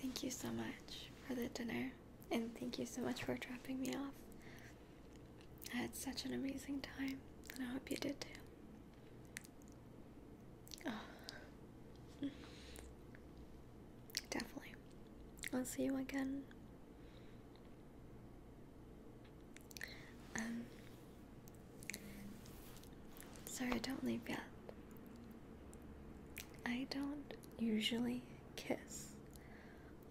Thank you so much for the dinner, and thank you so much for dropping me off. I had such an amazing time, and I hope you did too. Oh. Definitely. I'll see you again. Um, Sorry, don't leave yet. I don't usually kiss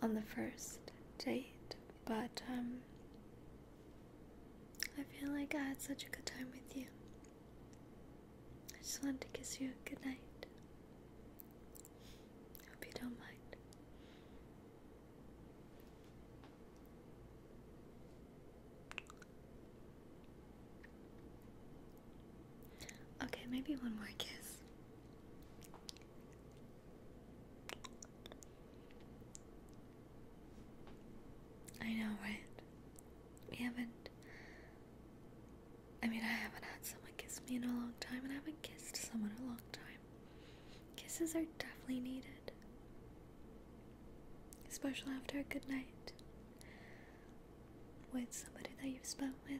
on the first date, but um, I feel like I had such a good time with you. I just wanted to kiss you goodnight. Hope you don't mind. Okay, maybe one more kiss. I know, right? We haven't. I mean, I haven't had someone kiss me in a long time, and I haven't kissed someone in a long time. Kisses are definitely needed. Especially after a good night with somebody that you've spent with.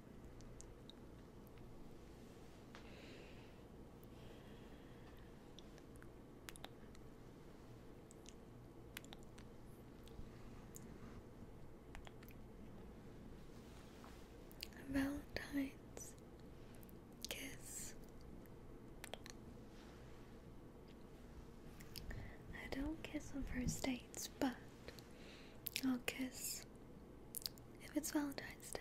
Valentine's kiss. I don't kiss on first dates, but I'll kiss if it's Valentine's Day.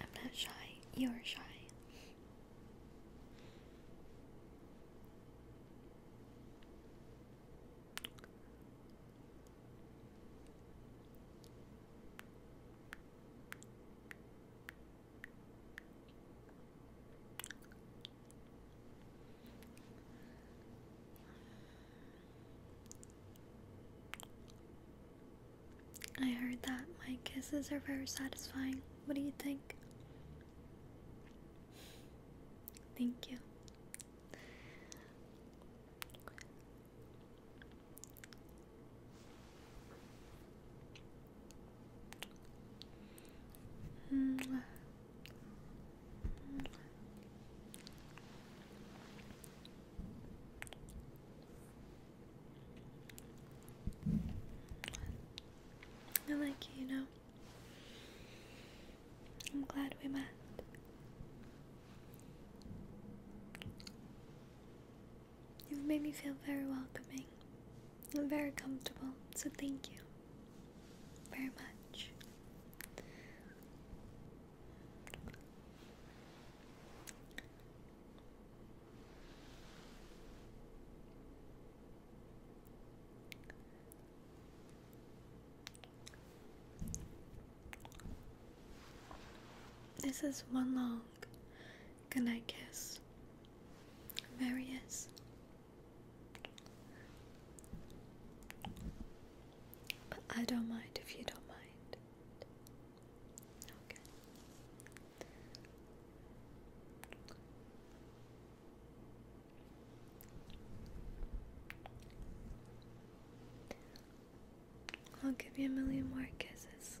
I'm not shy, you're shy. I heard that my kisses are very satisfying. What do you think? Thank you. I like you, you know. I'm glad we met. You've made me feel very welcoming and very comfortable, so thank you very much. This is one long goodnight kiss. Various but I don't mind if you don't mind. I'll give you a million more kisses.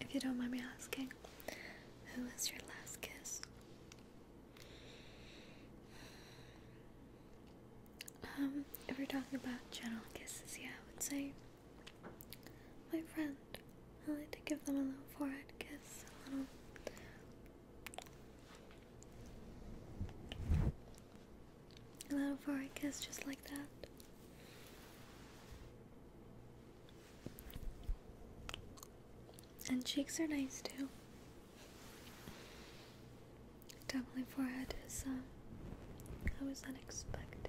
If you don't mind me asking, who was your last kiss? Um, if we're talking about gentle kisses, yeah, I would say my friend. I like to give them a little forehead kiss, a little Allow for a kiss just like that. And cheeks are nice too. Doubling forehead is, um, uh, was unexpected.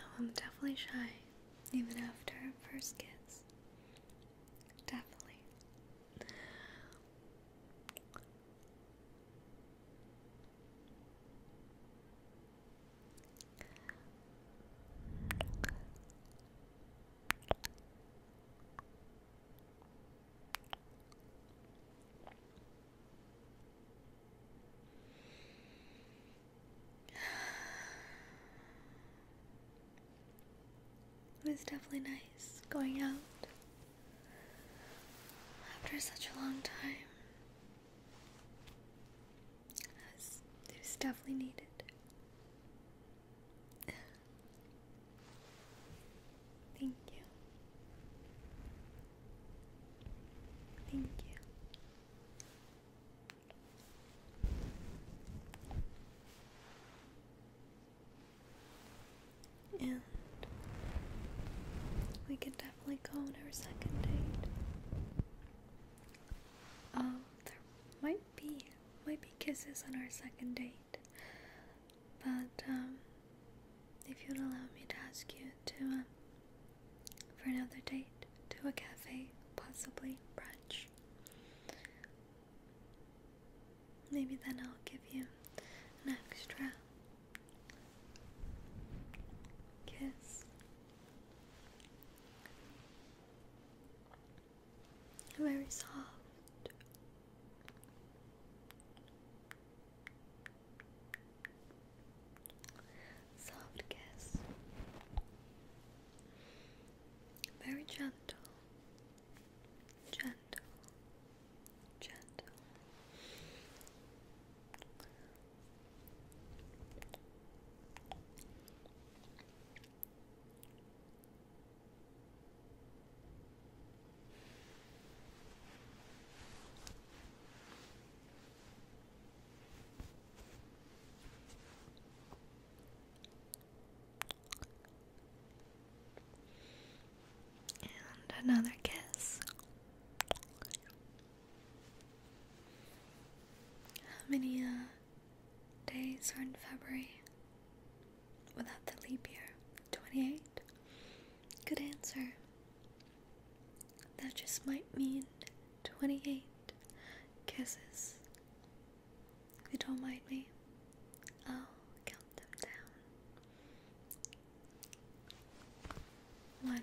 Oh, I'm definitely shy, even after first kiss. Definitely. It was definitely nice going out after such a long time as it definitely needed. Thank you. Thank you. And we could definitely go on our second date. Um, there might be might be kisses on our second date, but um, if you'd allow me to ask you to uh, for another date to a cafe, possibly brunch. Maybe then I'll give you an extra kiss very soft. Soft kiss, very gentle, gentle, gentle. And another kiss. How many uh, days are in February without the leap year? 28? Good answer. That just might mean 28 kisses. If you don't mind me, I'll count them down. One,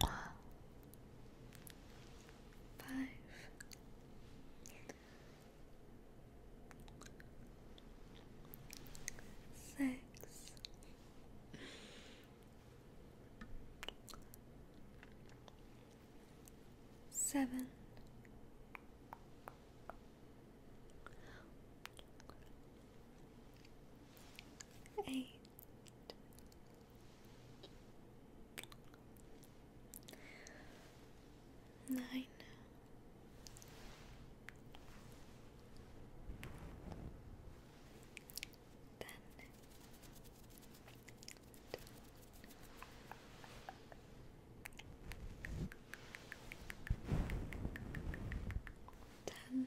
Five. Six. Seven. Eight nine. Ten. Ten.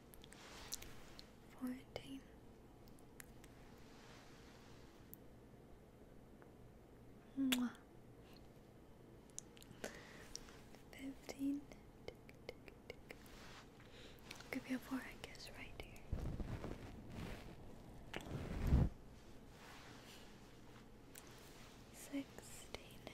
fourteen. Mwah. Fifteen. Tick, tick, a four, I guess, right here. Sixteen.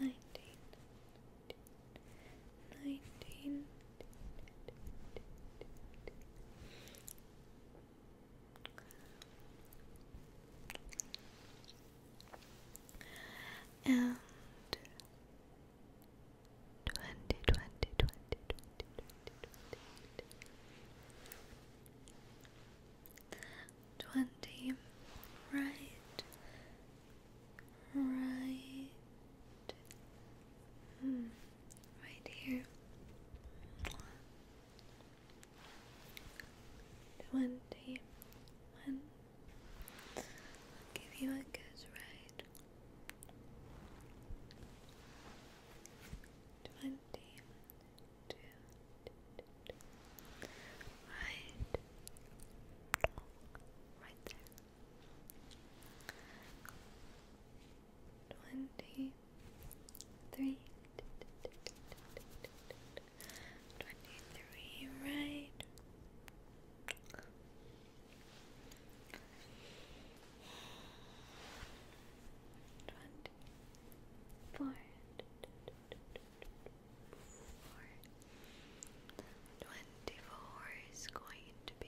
nineteen, nineteen, and twenty, twenty, twenty, twenty, twenty, twenty twenty, right, right, hmm. right here, twenty give you a good ride. Twenty two, right, right there. Twenty three, twenty three, right. Twenty four, is going to be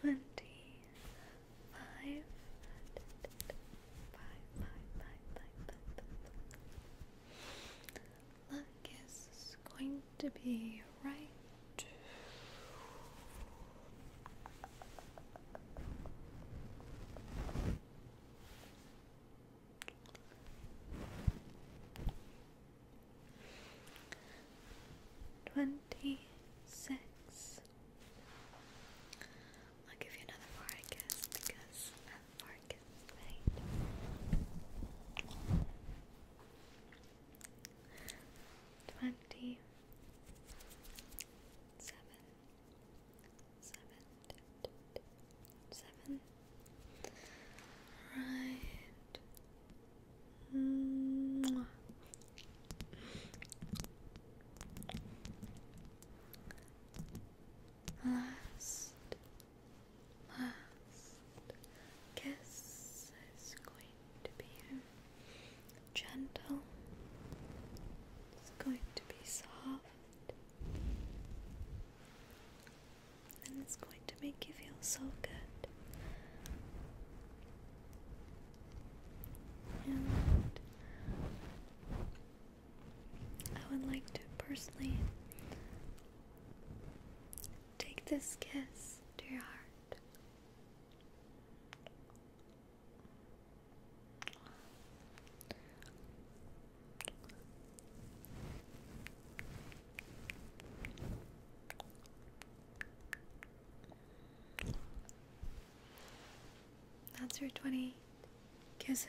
Twenty five, five, five, five, five, five. Luck is going to be right. Twenty six. I'll give you another four, I guess, because I'm Marcus, right? Twenty seven, seven, seven. Right. Mwah. Last, last kiss is going to be gentle. It's going to be soft, and it's going to make you feel so good. And I would like to personally take this kiss to your heart. That's your twenty kisses.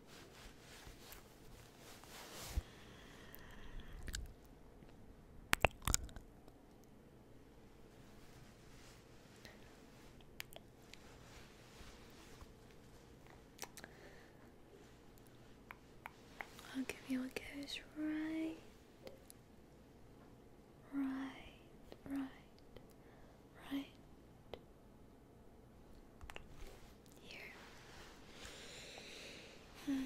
I'll give you what goes right, right, right, right, Hmm,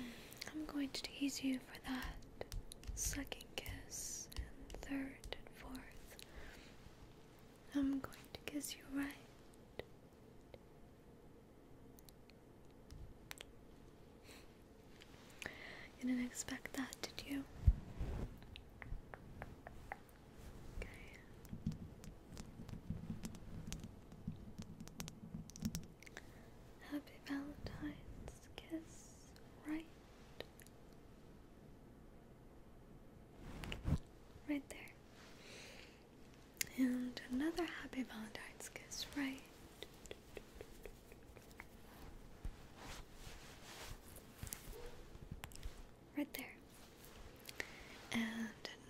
I'm going to tease you for that second kiss and third and fourth. I'm going to kiss you right. You didn't expect that, did you? Happy Valentine's kiss, right? Right there. And another happy Valentine's kiss, right? right there. And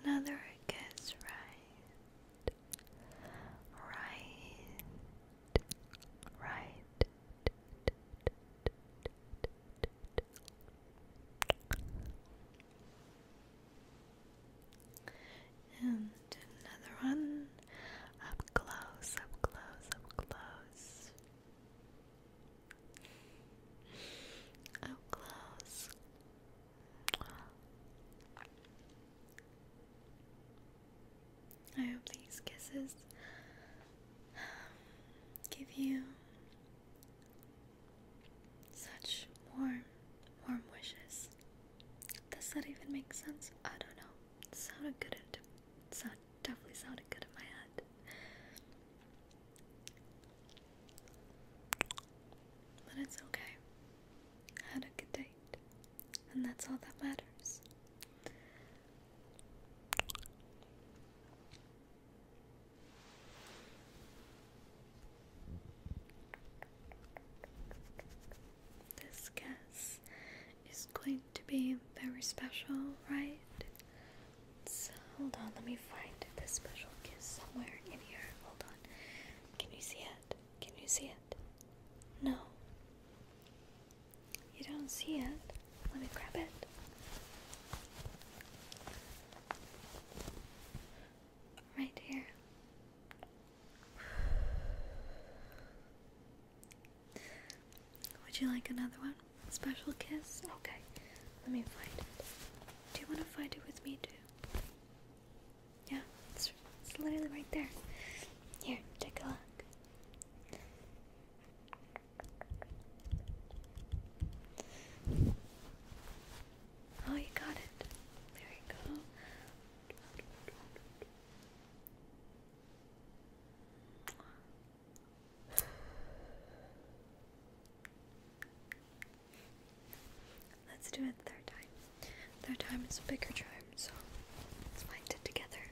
another guess right. Right. Right. And another one up close, up close, up close. Up close. I hope these kisses um, give you such warm, warm wishes. Does that even make sense? I don't know. It sounded good. It sound, definitely sounded good in my head. But it's okay. had a good date, and that's all that matters. This guess is going to be very special, right? hold on, let me find this special kiss somewhere in here. Hold on. Can you see it? Can you see it? No. You don't see it. Let me grab it. Right here. Would you like another one? Special kiss? Okay. Let me find it. Do you want to find it with me too? Yeah, it's, literally right there. Here, take a look. Oh, you got it. There you go. Let's do it third time. Third time is a bigger charm, so let's find it together.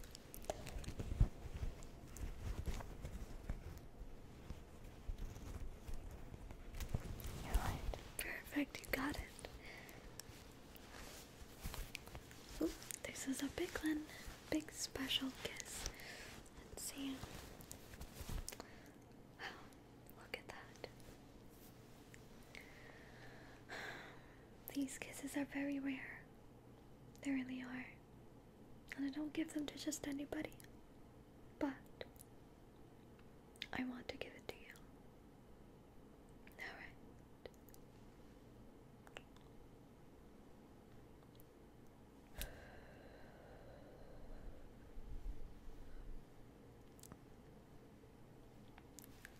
You're right. Perfect, you got it. this is a big one. Big special kiss. Let's see. Wow, look at that. These kisses are very rare. They really are. And I don't give them to just anybody. But I want to give it to you. Alright.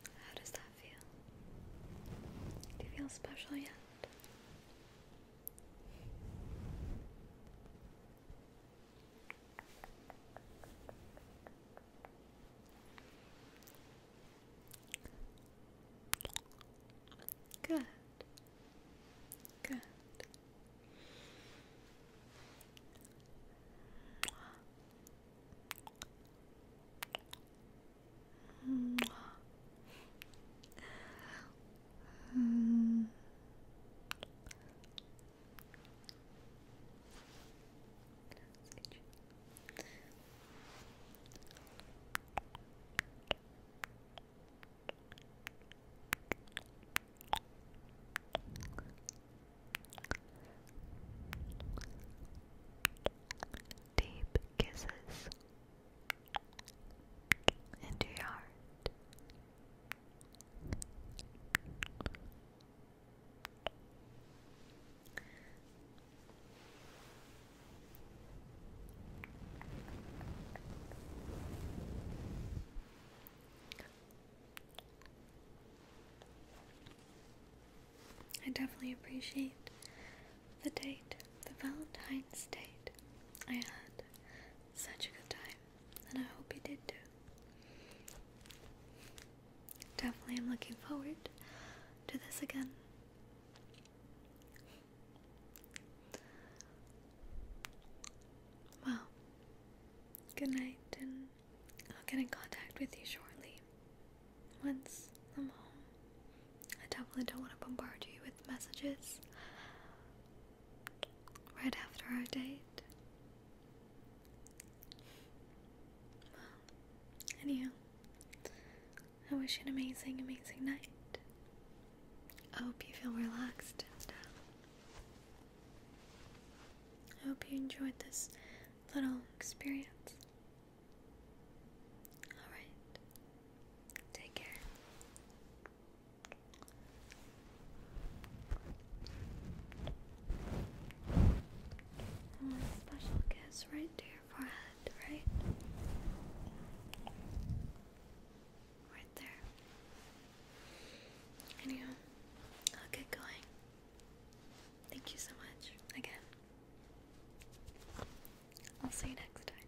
How does that feel? Do you feel special yet? Good. Good. Mm. Good. Deep kisses into your heart. I definitely appreciate the date, the Valentine's date. I had such a good time, and I hope you did too. Definitely, I'm looking forward to this again. Well, good night, and I'll get in contact with you shortly. Once I'm home, I definitely don't want to bombard you with messages right after our date. Well, anyhow, I wish you an amazing, amazing night. I hope you feel relaxed uh, I hope you enjoyed this little experience. Alright, take care. And special kiss right to your forehead, right? right there. Anyhow, I'll get going. Thank you so much again. I'll see you next time.